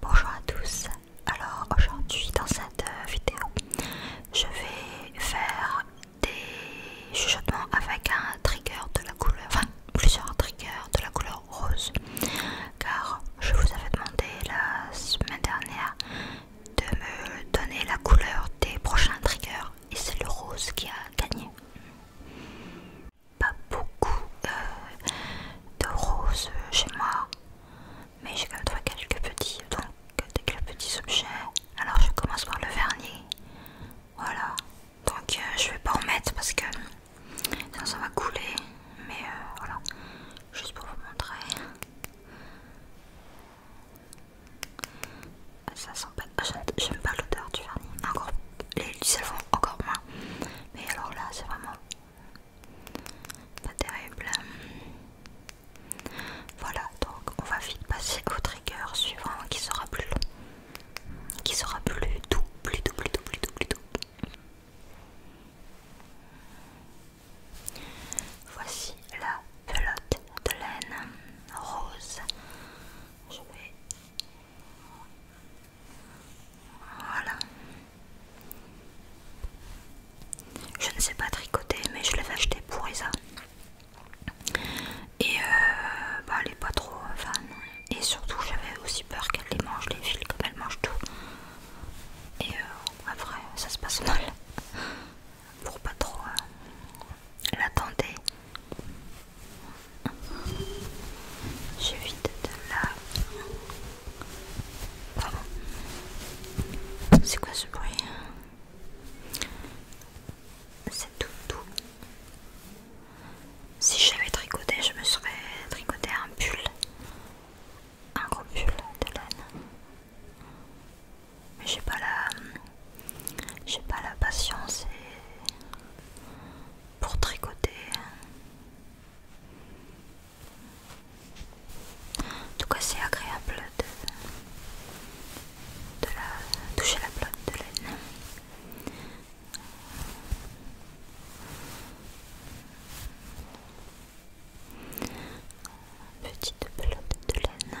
Bonjour à tous, alors aujourd'hui dans cette euh, vidéo je vais faire des chuchotements avec un trigger de la couleur, enfin plusieurs triggers de la couleur rose car je vous avais demandé la semaine dernière de me donner la couleur des prochains triggers et c'est le rose qui a gagné pas beaucoup euh, de roses chez moi, mais j'ai quand même trouvé quelques petits, donc des petits objets. Alors je commence par le vernis, voilà. Donc euh, je vais pas en mettre parce que ça va couler, mais euh, voilà, juste pour vous montrer. Ah, ça sent pas, ah, j'aime pas l'odeur du vernis, les elles vont encore moins. Mais alors là, c'est vraiment pas terrible. Voilà, donc on va vite passer au trigger suivant qui sera plus long. Qui sera plus doux, plus doux, doux, plus doux, plus doux. Voici la pelote de laine rose. Je vais voilà. Je ne sais pas tricoter, mais je l'avais acheté pour Isa. Et euh, bah, elle n'est pas trop fan. Et surtout, j'avais aussi peur qu'elle les mange, les fils, comme elle mange tout. Et euh, après, ça se passe mal. Pour pas trop la euh, l'attendre. J'ai vite de la... C'est quoi ce bruit hein C'est tout tout. Si j'avais tricoté, je me serais tricoté un pull. Un gros pull de laine. Mais j'ai pas la... J'ai pas la patience et pour tricoter. tout cas, c'est agréable de, la, toucher la pelote de laine. Petite pelote de laine.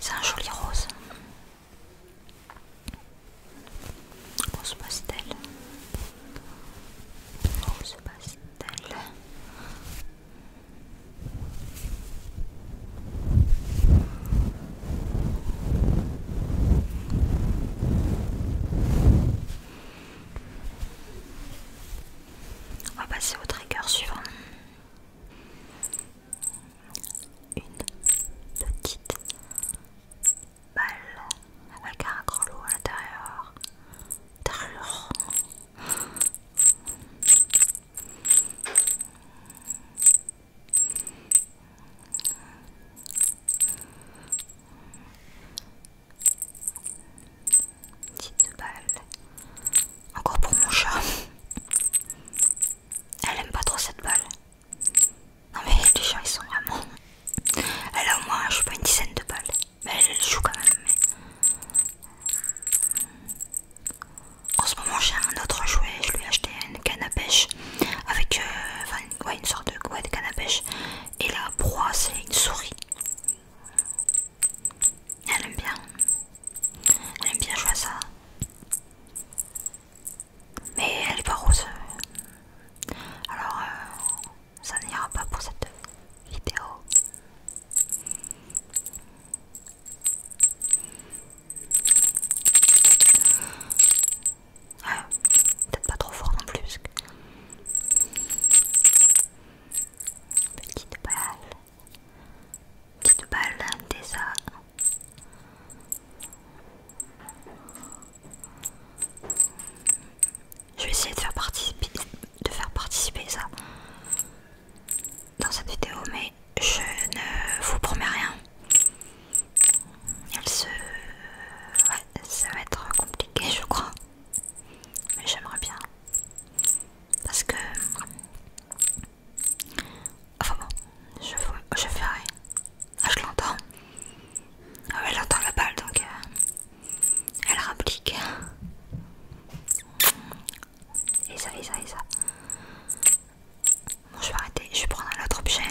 C'est un joli rose. Rose pastel. Rose pastel. On va passer au trigger suivant. Une petite balle avec un gros lot à l'intérieur. Une Petite balle. Encore pour mon chat. Elle aime pas trop cette balle. Non mais les chats ils sont vraiment... Elle a au moins, je sais pas, une dizaine de balles. Mais elle, joue quand même. En ce moment j'ai un autre jouet, je lui ai acheté une canne à pêche. Avec... Euh, une sorte de, ouais, de canne à pêche. Et la proie, c'est une souris. Elle aime bien. Elle aime bien jouer ça. Mais elle est pas rose. Alors, euh, ça n'ira pas pour cette vidéo. Peut-être pas trop fort non plus. Petite balle. Petite balle des Je vais essayer de faire participer de faire participer ça dans cette vidéo mais je ne vous promets rien. ça va être compliqué je crois. Mais j'aimerais bien. Parce que... Enfin bon, je, je ferai Ah, je l'entends. Ah ouais, elle entend la balle, donc euh, elle réplique. Et ça, et ça, et ça. Bon, je vais arrêter, je vais prendre un autre objet.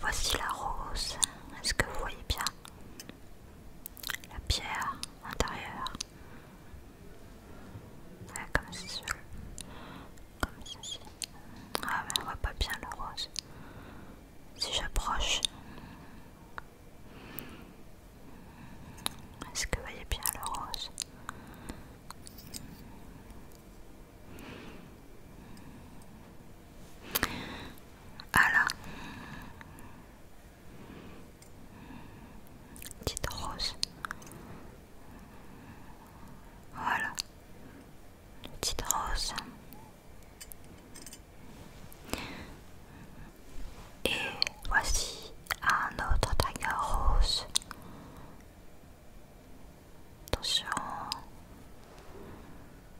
Voici la rose. Est-ce que vous voyez bien la pierre intérieure Comme ceci. Ah, mais on voit pas bien la rose. Si j'approche, est-ce que vous voyez bien la rose voilà, Petite rose. Voilà. Petite rose. Et voici un autre tiger rose. Attention.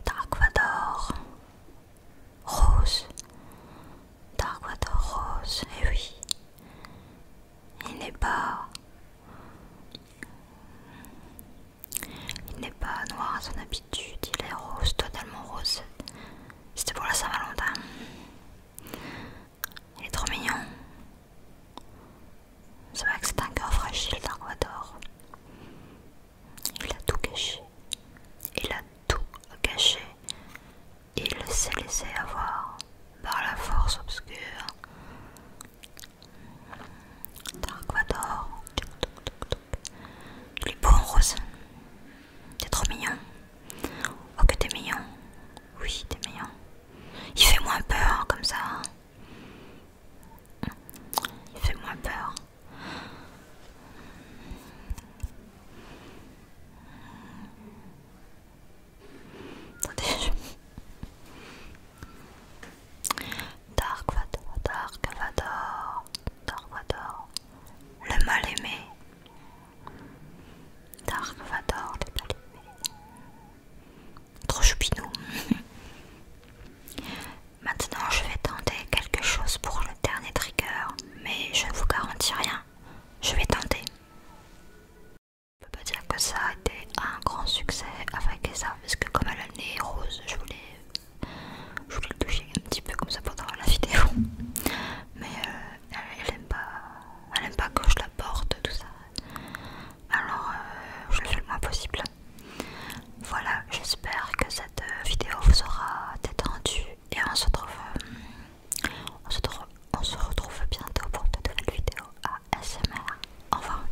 Dark Rose. Dark Rose. Et eh oui. Il n'est pas. Il n'est pas noir à son habitude, il est rose, totalement rose. C'était pour la Saint-Valentin. Il est trop mignon. C'est vrai que c'est un cœur fragile, Dark il a tout caché. Il a tout caché. Il s'est laissé avoir par la force obscure. Dark Vador. Il est beau en rose. T'es trop mignon. Oh que t'es mignon. Oui, t'es mignon. Il fait moins peur hein, comme ça. Hein. Il fait moins peur. Dark Vador, Dark Vador, Dark Vador, le mal aimé. Dark Vador, le mal aimé. Trop choupinou. Maintenant, je vais tenter quelque chose pour le dernier trigger, mais je ne vous garantis rien. Je vais tenter. Je peux pas dire que ça a été un grand succès avec ça, parce que comme elle a le nez rose, je voulais, voulais le toucher un petit peu comme ça pendant la vidéo. Mais euh, elle, aime pas, elle que je la porte, tout ça. Alors, euh, je le fais le moins possible. Voilà, j'espère que cette vidéo vous aura détendu et on se retrouve, on se, retrouve bientôt pour de nouvelles vidéos à ASMR. Au revoir.